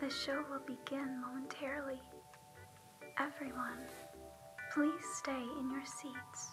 The show will begin momentarily. Everyone, please stay in your seats.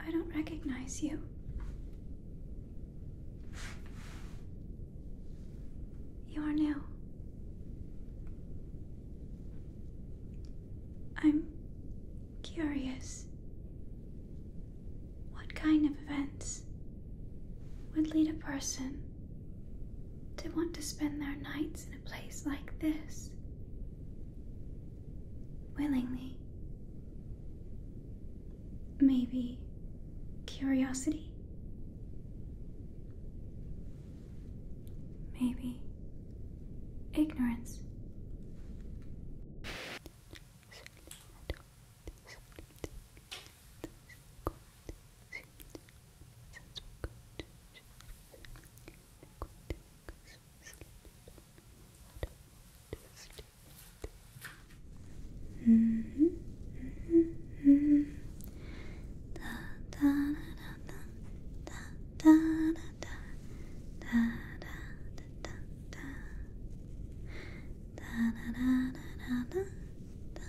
I don't recognize you. You are new. I'm curious. What kind of events would lead a person to want to spend their nights in a place like this. Willingly. Maybe curiosity. Maybe ignorance. Mm -hmm. da, da, da, da, da, da, da, da, da, da, da, da, da, da, da, da, da, da, da,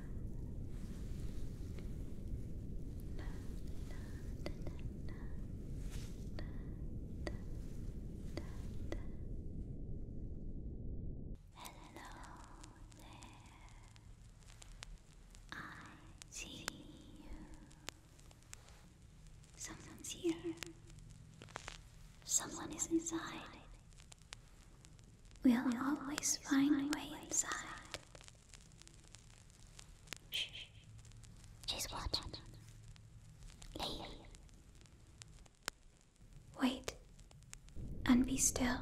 Hello there. I see you. Someone's here. Someone is inside. We'll always find a way inside. Shh. She's watching. Leave. Wait. And be still.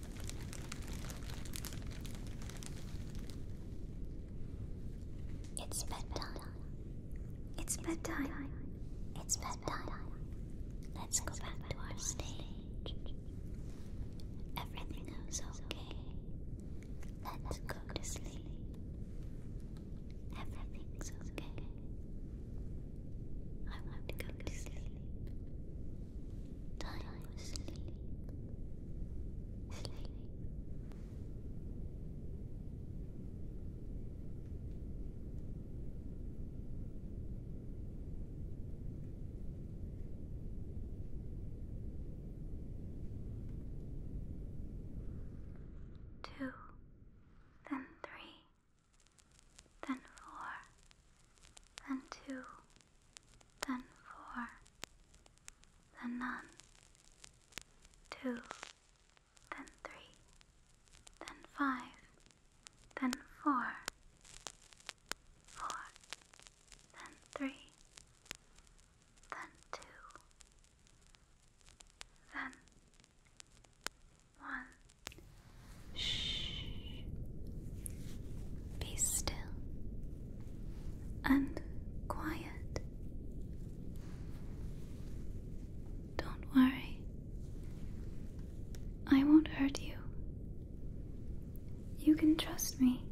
It's bedtime. It's bedtime. It's bedtime. Let's go back to our stage. Everything is okay. Let's go to sleep. Everything's okay. I want to go to sleep. Time to sleep. Sleep. Two, then three, then four, then two then four, then none, two, then three, then five, then four, four, then three, then two, then one. Shh. Be still and quiet. Don't worry. I won't hurt you. You can trust me.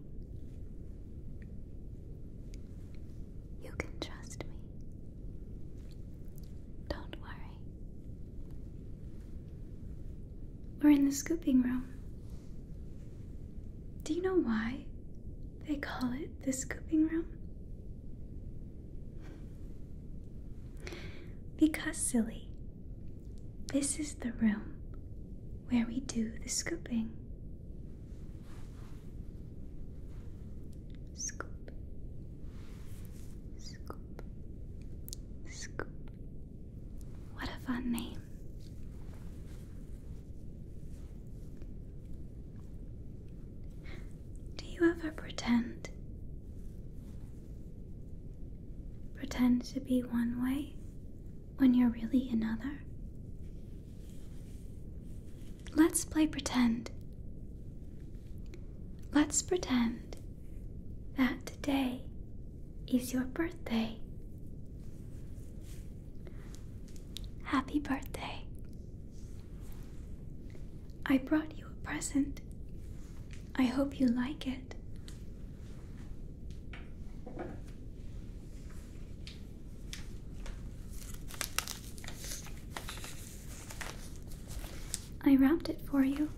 You can trust me. Don't worry. We're in the scooping room. Do you know why they call it the scooping room? Because, silly, this is the room where we do the scooping. Scoop, scoop, scoop, what a fun name. Do you ever pretend? Pretend to be one way when you're really another? Let's play pretend. Let's pretend that today is your birthday. Happy birthday. I brought you a present. I hope you like it. I wrapped it for you.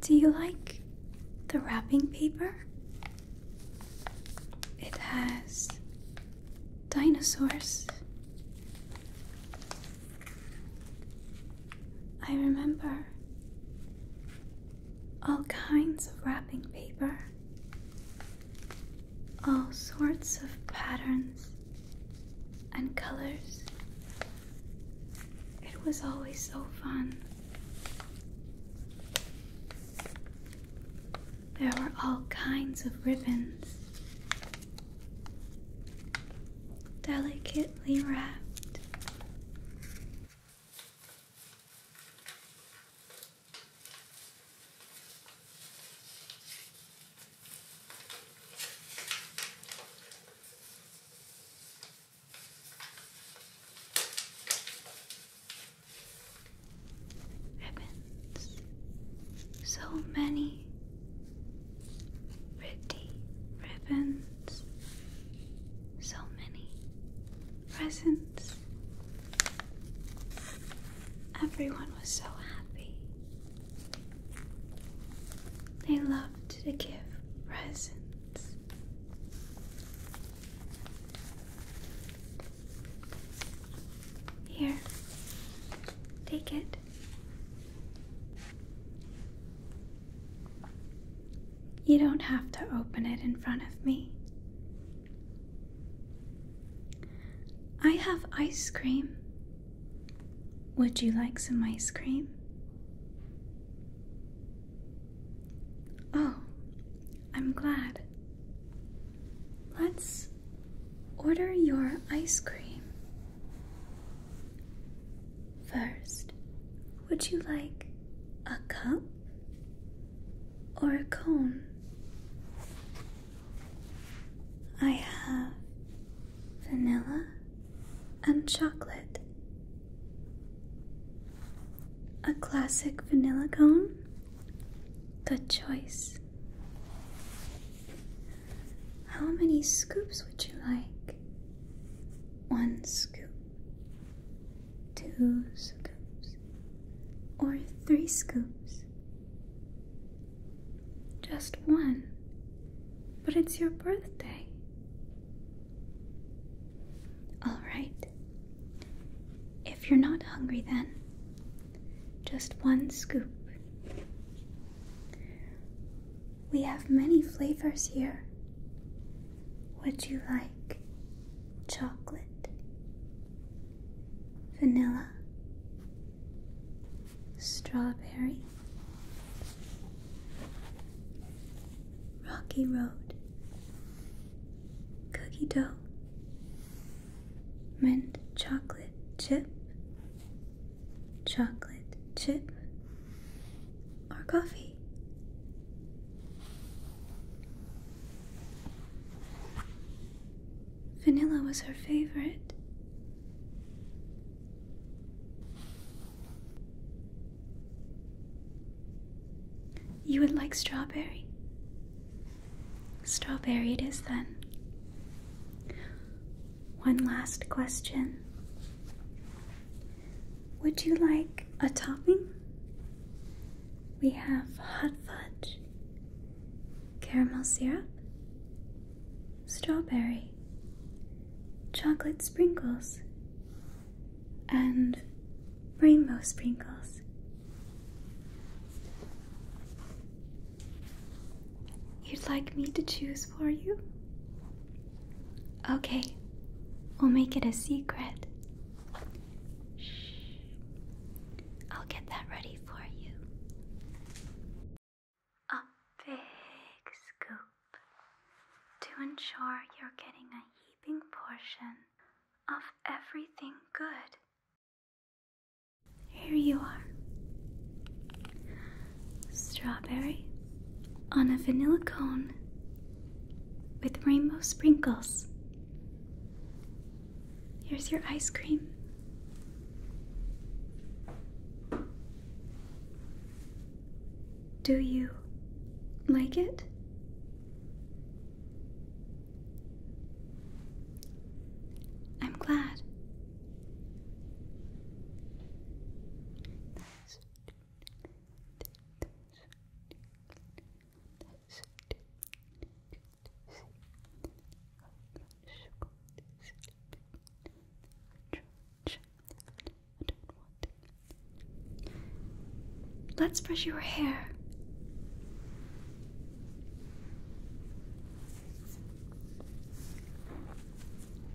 Do you like the wrapping paper? It has dinosaurs. I remember all kinds of wrapping paper all sorts of patterns and colors. It was always so fun. There were all kinds of ribbons, delicately wrapped. Ribbons, so many pretty ribbons, so many presents. Everyone was so happy they loved to give presents. Here, take it. You don't have to open it in front of me. I have ice cream would you like some ice cream? Oh, I'm glad. Let's order your ice cream. First, would you like a cup or a cone? I have vanilla and chocolate. A classic vanilla cone? Good choice. How many scoops would you like? One scoop, two scoops, or three scoops? Just one. But it's your birthday. Alright. If you're not hungry, then just one scoop. We have many flavors here. Would you like chocolate, vanilla, Strawberry Rocky Road Cookie Dough Mint Chocolate Chip Chocolate Chip or Coffee Vanilla was her favorite. You would like strawberry? Strawberry it is then. One last question. Would you like a topping? We have hot fudge, caramel syrup, strawberry, chocolate sprinkles, and rainbow sprinkles. You'd like me to choose for you? Okay, we'll make it a secret. Shh. I'll get that ready for you. A big scoop to ensure you're getting a heaping portion of everything good. Here you are. Strawberry on a vanilla cone with rainbow sprinkles. Here's your ice cream. Do you like it? I'm glad. Let's brush your hair.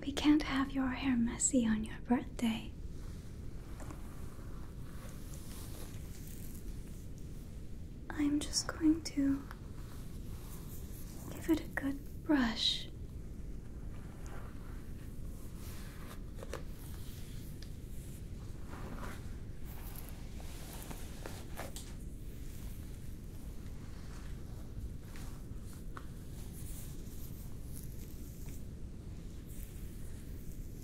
We can't have your hair messy on your birthday. I'm just going to give it a good brush.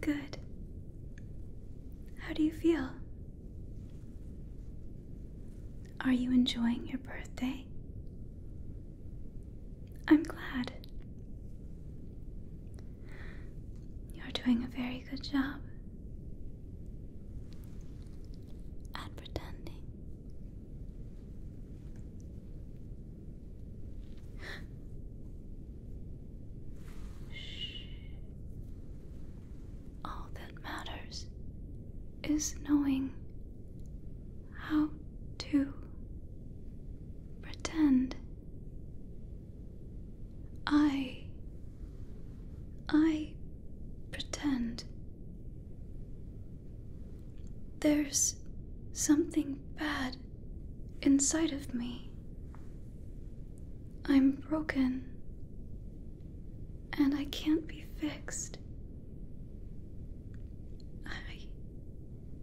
Good. How do you feel? Are you enjoying your birthday? I'm glad. You're doing a very good job at pretending. Shh. All that matters is knowing how to pretend I I pretend there's something bad inside of me. I'm broken and I can't be fixed. I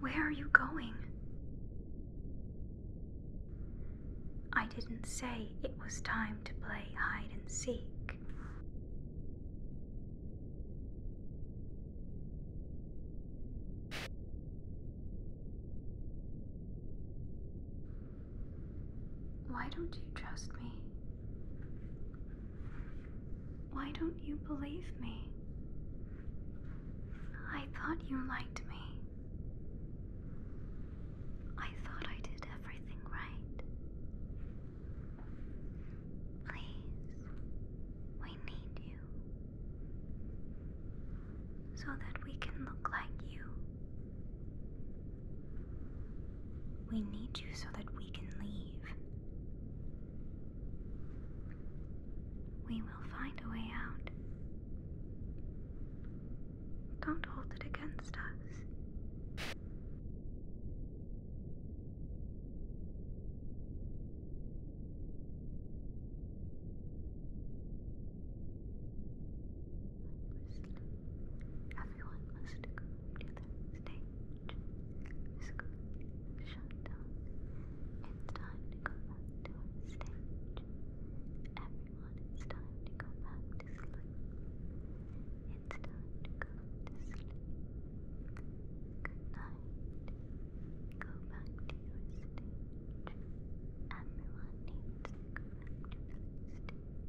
Where are you going? I didn't say it was time to play hide and seek. Why don't you trust me? Why don't you believe me? I thought you liked me. I thought I did everything right. Please, we need you so that we can look like you. We need you so that we can leave. We will find a way out. Don't hold it against us. Everyone must go to go back to our stage. Everyone, it's time to go back to sleep. It's time to go to sleep. Good night. Go back to your stage. Everyone needs to go back to their